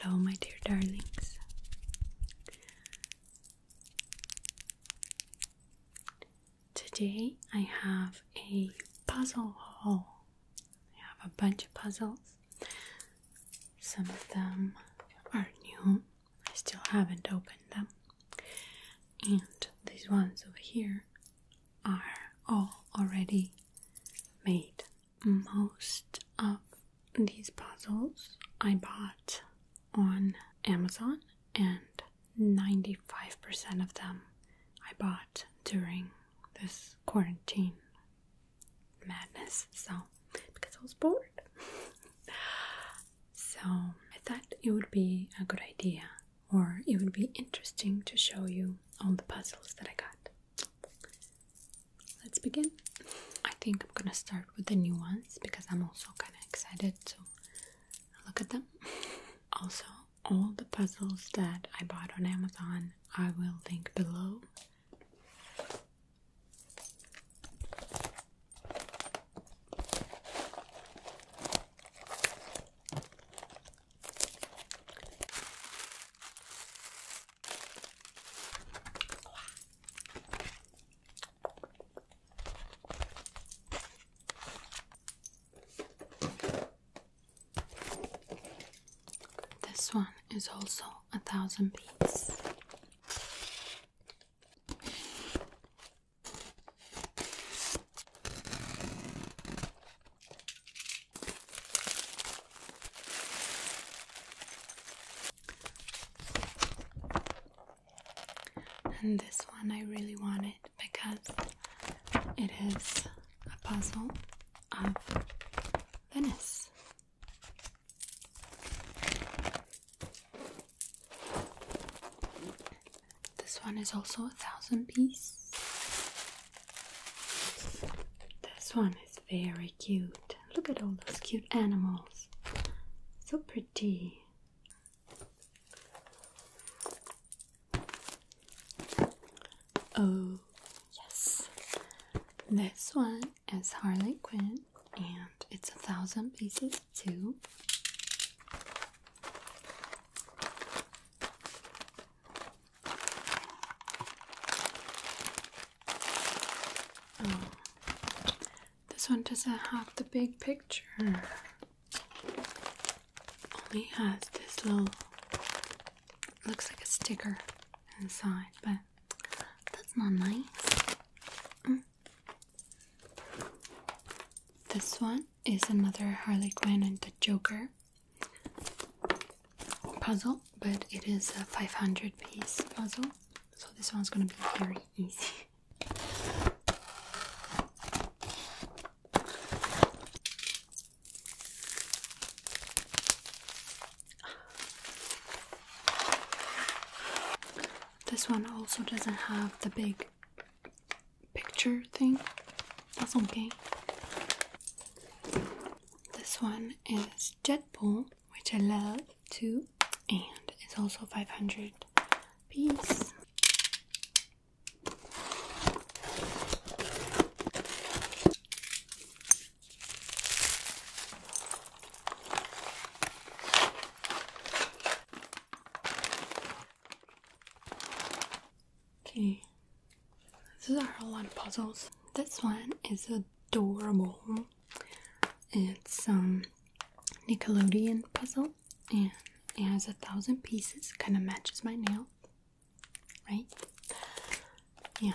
Hello, my dear darlings. Today I have a puzzle haul. I have a bunch of puzzles. Some of them are new, I still haven't opened them. And these ones over here are all already made. Most of these puzzles I bought on Amazon, and 95% of them I bought during this quarantine madness. So, because I was bored. So I thought it would be a good idea, or it would be interesting to show you all the puzzles that I got. Let's begin. I think I'm gonna start with the new ones because I'm also kind of excited to look at them. also, all the puzzles that I bought on Amazon I will link below. This one is also a thousand beats. And this one I really wanted because it is a puzzle of Venice. This one is also a thousand piece. This one is very cute. Look at all those cute animals. So pretty. Oh, yes. This one is Harley Quinn and it's a thousand pieces too. Oh. this one doesn't have the big picture. Only has this little. Looks like a sticker inside, but that's not nice. Mm. This one is another Harley Quinn and the Joker puzzle, but it is a 500 piece puzzle, so this one's gonna be very easy. This one also doesn't have the big picture thing. That's okay. This one is Jetpool, which I love too, and it's also 500 pieces. Okay, these are a lot of puzzles. This one is adorable. It's um Nickelodeon puzzle and it has a thousand pieces, kinda matches my nail. Right? Yeah.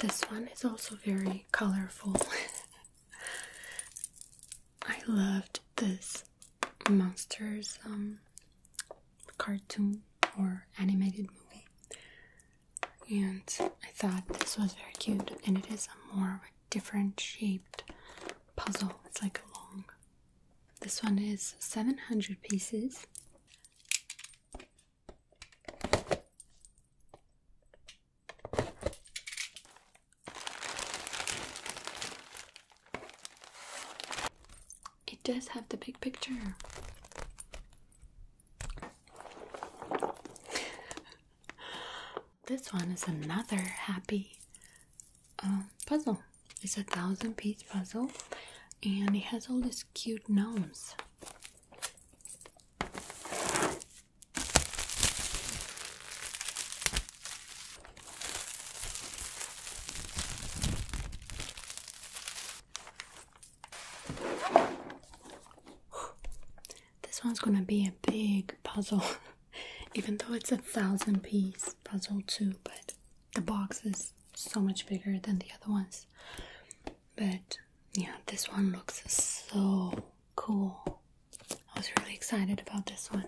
This one is also very colorful. I loved this monsters um, cartoon or animated movie and I thought this was very cute and it is a more of a different shaped puzzle. It's like a long. This one is 700 pieces. It does have the big picture. this one is another happy um, puzzle. It's a thousand piece puzzle and it has all these cute gnomes. This one's gonna be a big puzzle, even though it's a thousand piece puzzle too, but the box is so much bigger than the other ones. But yeah, this one looks so cool. I was really excited about this one.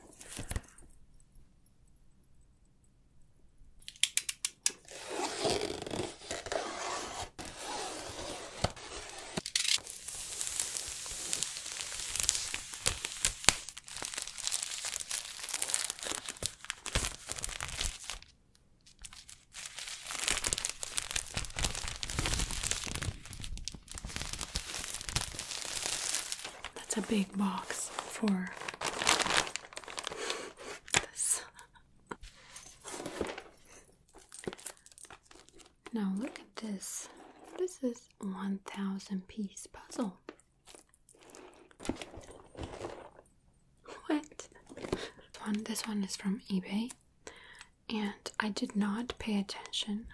That's a big box for this now look at this. This is 1000 piece puzzle. What? This one, this one is from eBay and I did not pay attention.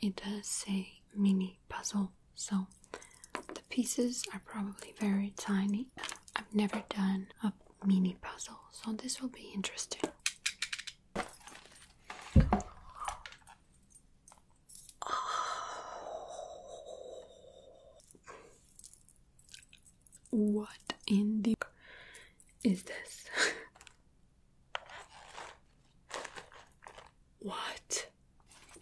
It does say mini puzzle, so pieces are probably very tiny. I've never done a mini puzzle, so this will be interesting. What in the is this? what?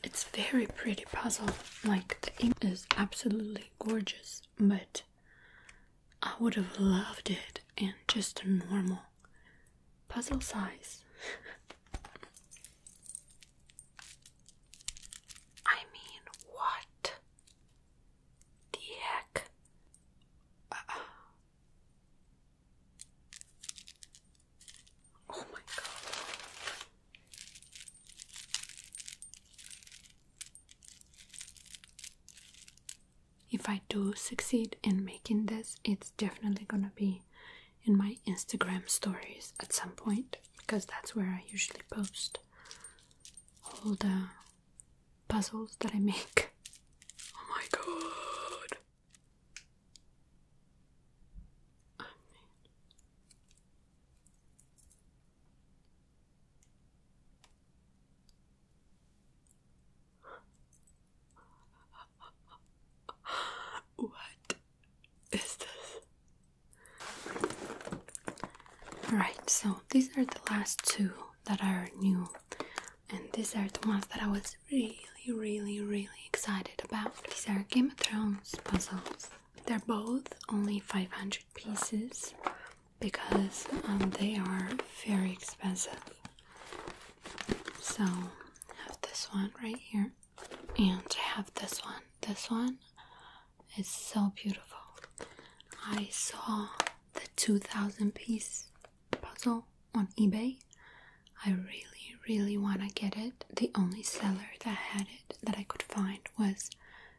It's very pretty puzzle. Like the ink is absolutely gorgeous, but I would have loved it in just a normal puzzle size. I mean, what the heck? Uh-uh. Oh my god. If I do succeed in making this, it's definitely gonna be in my Instagram stories at some point because that's where I usually post all the puzzles that I make. Oh my god! What is this? Alright, so these are the last two that are new, and these are the ones that I was really, really, really excited about. These are Game of Thrones puzzles. They're both only 500 pieces because um, they are very expensive. So, I have this one right here, and I have this one. This one is so beautiful. I saw the 2000 piece puzzle on eBay. I really, really want to get it. The only seller that had it that I could find was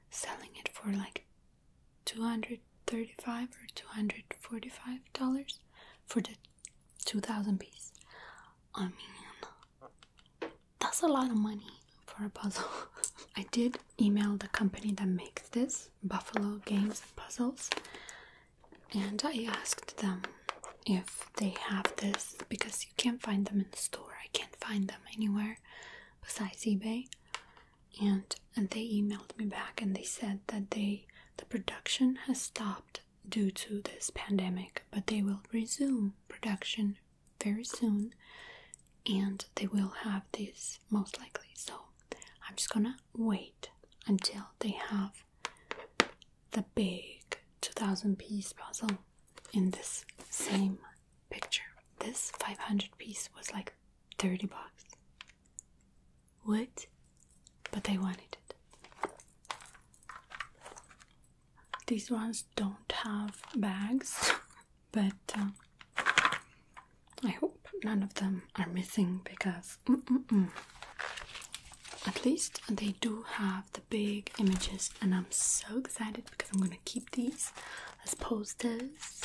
selling it for like 235 or 245 dollars for the 2000 pieces. i mean that's a lot of money for a puzzle i did email the company that makes this buffalo games puzzles and i asked them if they have this because you can't find them in the store i can find them anywhere besides eBay. And, and they emailed me back and they said that they the production has stopped due to this pandemic, but they will resume production very soon and they will have this most likely. So I'm just gonna wait until they have the big 2000 piece puzzle in this same picture. This 500 piece was like 30 bucks. Wood, but I wanted it. These ones don't have bags, but um, I hope none of them are missing because at least they do have the big images, and I'm so excited I'm going to keep these as posters.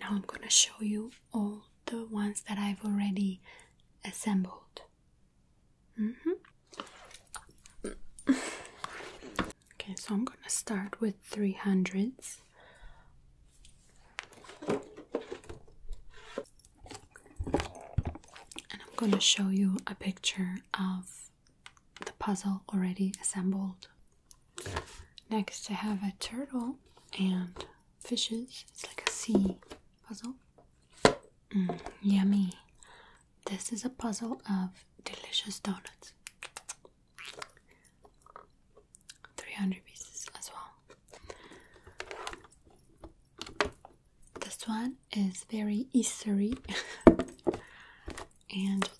Now I'm going to show you all the ones that I've already assembled. Mm-hmm. Okay, so I'm gonna start with three hundreds. And I'm gonna show you a picture of the puzzle already assembled. Next, I have a turtle and fishes. It's like a sea puzzle. Mm, yummy. This is a puzzle of delicious donuts. 300 pieces as well. This one is very Eastery. and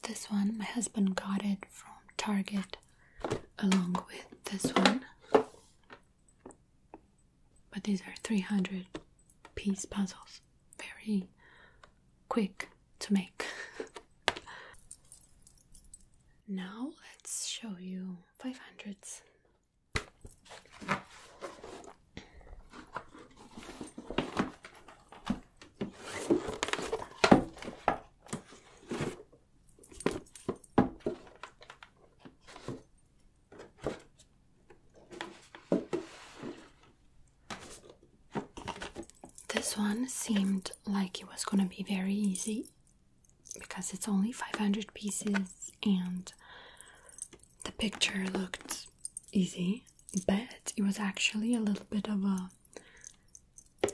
this one, my husband got it from Target along with this one. But these are 300 piece puzzles very quick to make. now let's show you 500s. This one seemed like it was gonna be very easy because it's only 500 pieces and the picture looked easy, but it was actually a little bit of a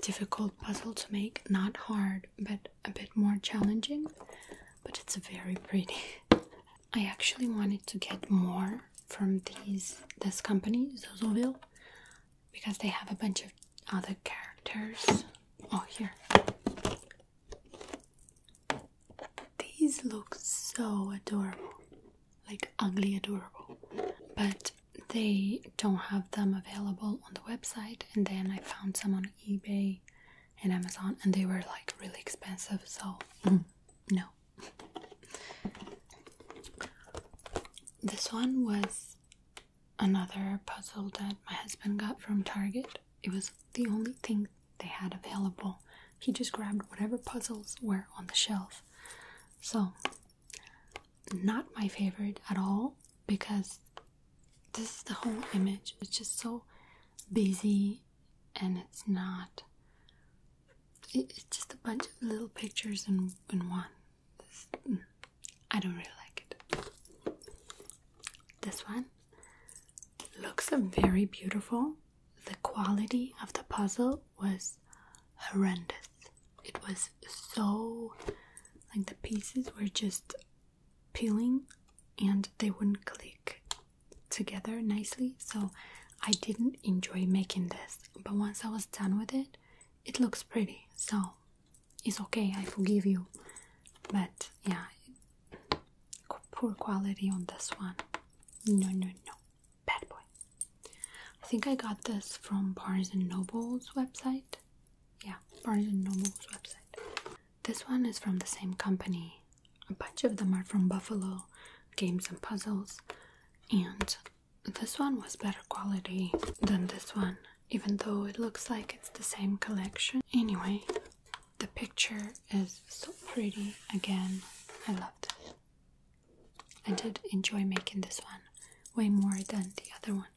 difficult puzzle to make. Not hard, but a bit more challenging. But it's very pretty. I actually wanted to get more from these this company, Zozoville, because they have a bunch of other characters. Oh, here. These look so adorable, like ugly adorable, but they don't have them available on the website. And then I found some on eBay and Amazon, and they were like really expensive, so mm, no. This one was another puzzle that my husband got from Target. It was the only thing they had available. He just grabbed whatever puzzles were on the shelf. So, not my favorite at all because this is the whole image. It's just so busy and it's not it's just a bunch of little pictures in, in one. Mm, I don't really like it. This one looks very beautiful. The quality of the puzzle was horrendous. It was so like the pieces were just peeling and they wouldn't click together nicely so I didn't enjoy making this but once I was done with it it looks pretty so it's okay I forgive you but yeah poor quality on this one no no no bad boy I think I got this from Barnes and Noble's website yeah Barnes and Noble's website this one is from the same company a bunch of them are from Buffalo games and puzzles, and this one was better quality than this one, even though it looks like it's the same collection. Anyway, the picture is so pretty again. I loved it. I did enjoy making this one way more than the other one.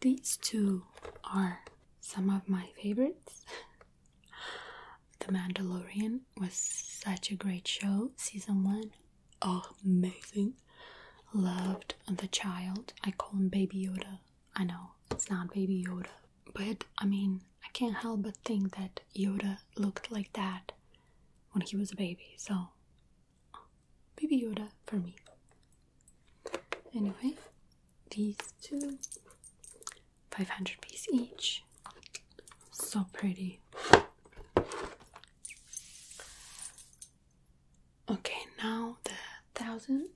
These two are some of my favorites. the Mandalorian was such a great show, season one. amazing. Loved The Child. I call him Baby Yoda. I know it's not Baby Yoda, but I mean, I can't help but think that Yoda looked like that when he was a baby, so Baby Yoda for me. Anyway, these two, 500 piece each. So pretty. Okay, now the thousand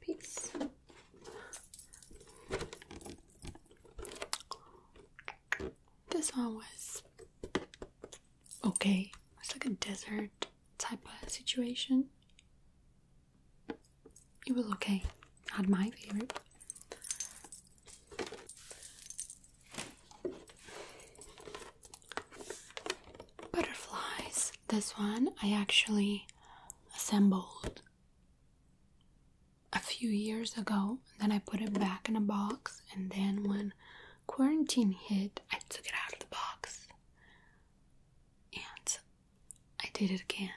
piece. This one was okay. It's like a desert type of situation. It was okay. I had my favourite. Butterflies. This one I actually assembled a few years ago. Then I put it back in a box, and then when quarantine hit, I took it out of the box and I did it again.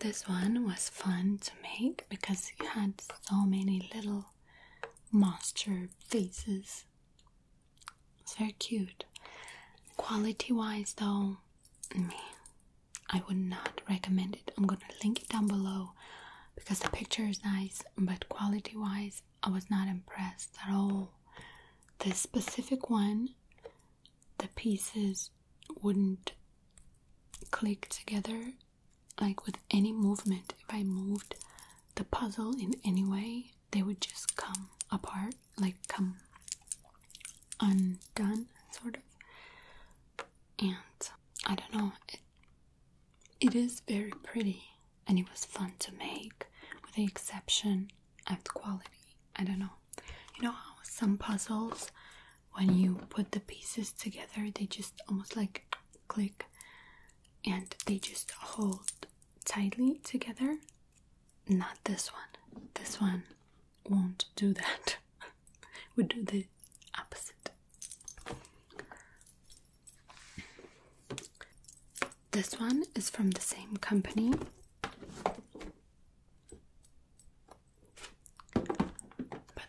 this one was fun to make because you had so many little monster faces it's very cute. Quality wise, though, me, I would not recommend it. I'm gonna link it down below because the picture is nice, but quality wise, I was not impressed at all. This specific one, the pieces wouldn't click together like with any movement. If I moved the puzzle in any way, they would just come apart, like come undone, sort of. And I don't know, it, it is very pretty and it was fun to make, with the exception of the quality. I don't know. You know how some puzzles, when you put the pieces together, they just almost like click and they just hold tightly together. Not this one. This one won't do that. we do the opposite. This one is from the same company. But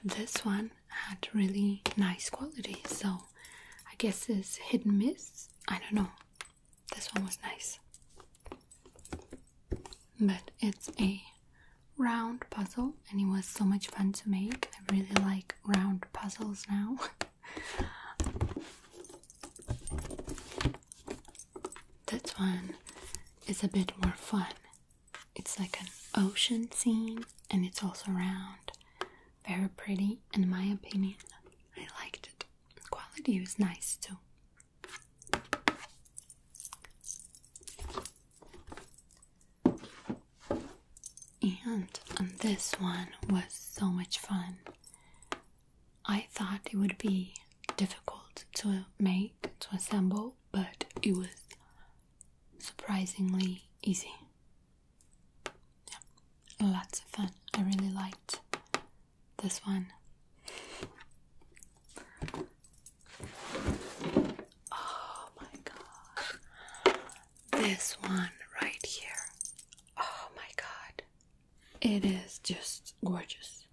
this one had really nice quality, so I guess it's hit and miss. I don't know. This one was nice. But it's a round puzzle and it was so much fun to make. I really like round puzzles now. this one is a bit more fun. It's like an ocean scene and it's also round. Very pretty, in my opinion. I liked it. Quality was nice too. And this one was so much fun. I thought it would be difficult to make, to assemble, but it was surprisingly easy yeah, lots oh, of fun. I really liked this one. Oh my god. This one right here. Oh my god. It is just gorgeous.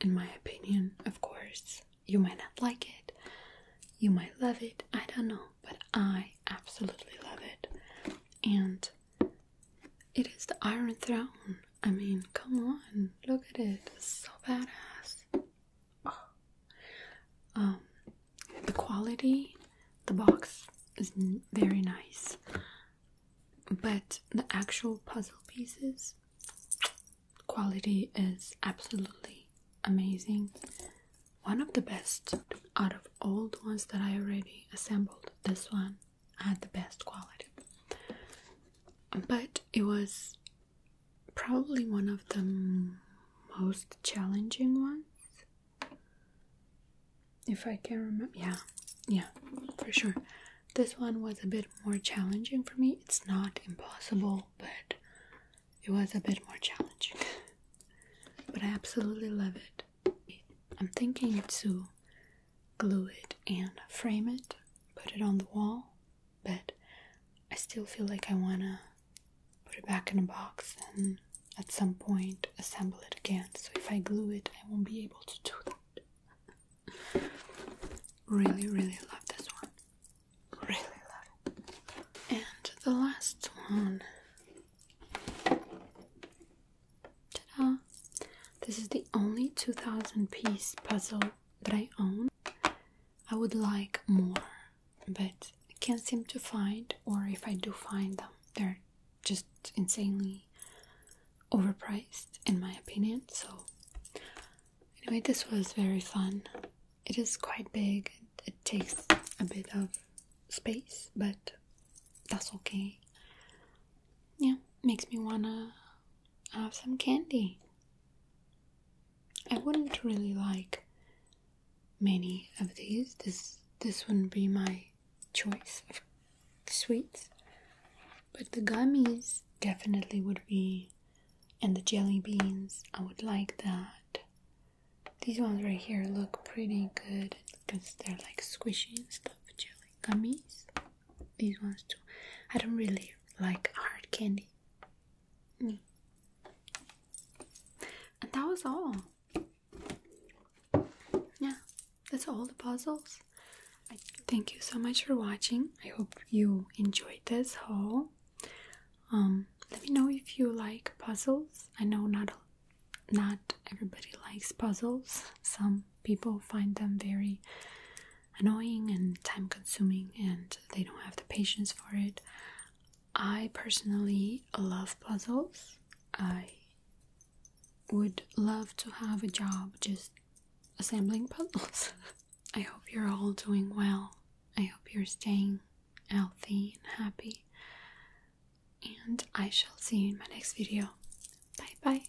In my opinion, of course. You might not like it. You might love it. I don't know but I absolutely love it. And it is the Iron Throne. I mean, come on, look at it. so badass. Ah. Um, the quality, the box is very nice, but the actual puzzle pieces quality is absolutely amazing. One of the best out of all the ones that I already assembled, this one had the best quality. But it was probably one of the most challenging ones. If I can remember, yeah, yeah, for sure. This one was a bit more challenging for me. It's not impossible, but it was a bit more challenging. but I absolutely love it. I'm thinking to glue it and frame it, put it on the wall, but I still feel like I wanna put it back in a box and at some point assemble it again. So if I glue it, I won't be able to do that. really, really love this one. Really love it. And the last one Ta-da! This is the only 2000 piece puzzle that I own. I would like more, but can't seem to find, or if I do find them, they're just insanely overpriced, in my opinion. So, anyway, this was very fun it is quite big, it, takes a bit of space, but that's okay. Yeah, makes me wanna have some candy. I wouldn't really like many of these. This this wouldn't be my choice of sweets. But the gummies definitely would be and the jelly beans, I would like that. These ones right here look pretty good because they're like squishy and stuff, jelly gummies. These ones too. I don't really like hard candy. Mm. And that was all. Yeah, that's all the puzzles. thank you so much for watching. I hope you enjoyed this haul. Um, let me know if you like puzzles. I know not not everybody likes puzzles. Some people find them very annoying and time consuming and they don't have the patience for it. I personally love puzzles. I would love to have a job just assembling puzzles. I hope you're all doing well. I hope you're staying healthy and happy. And I shall see you in my next video. Bye bye.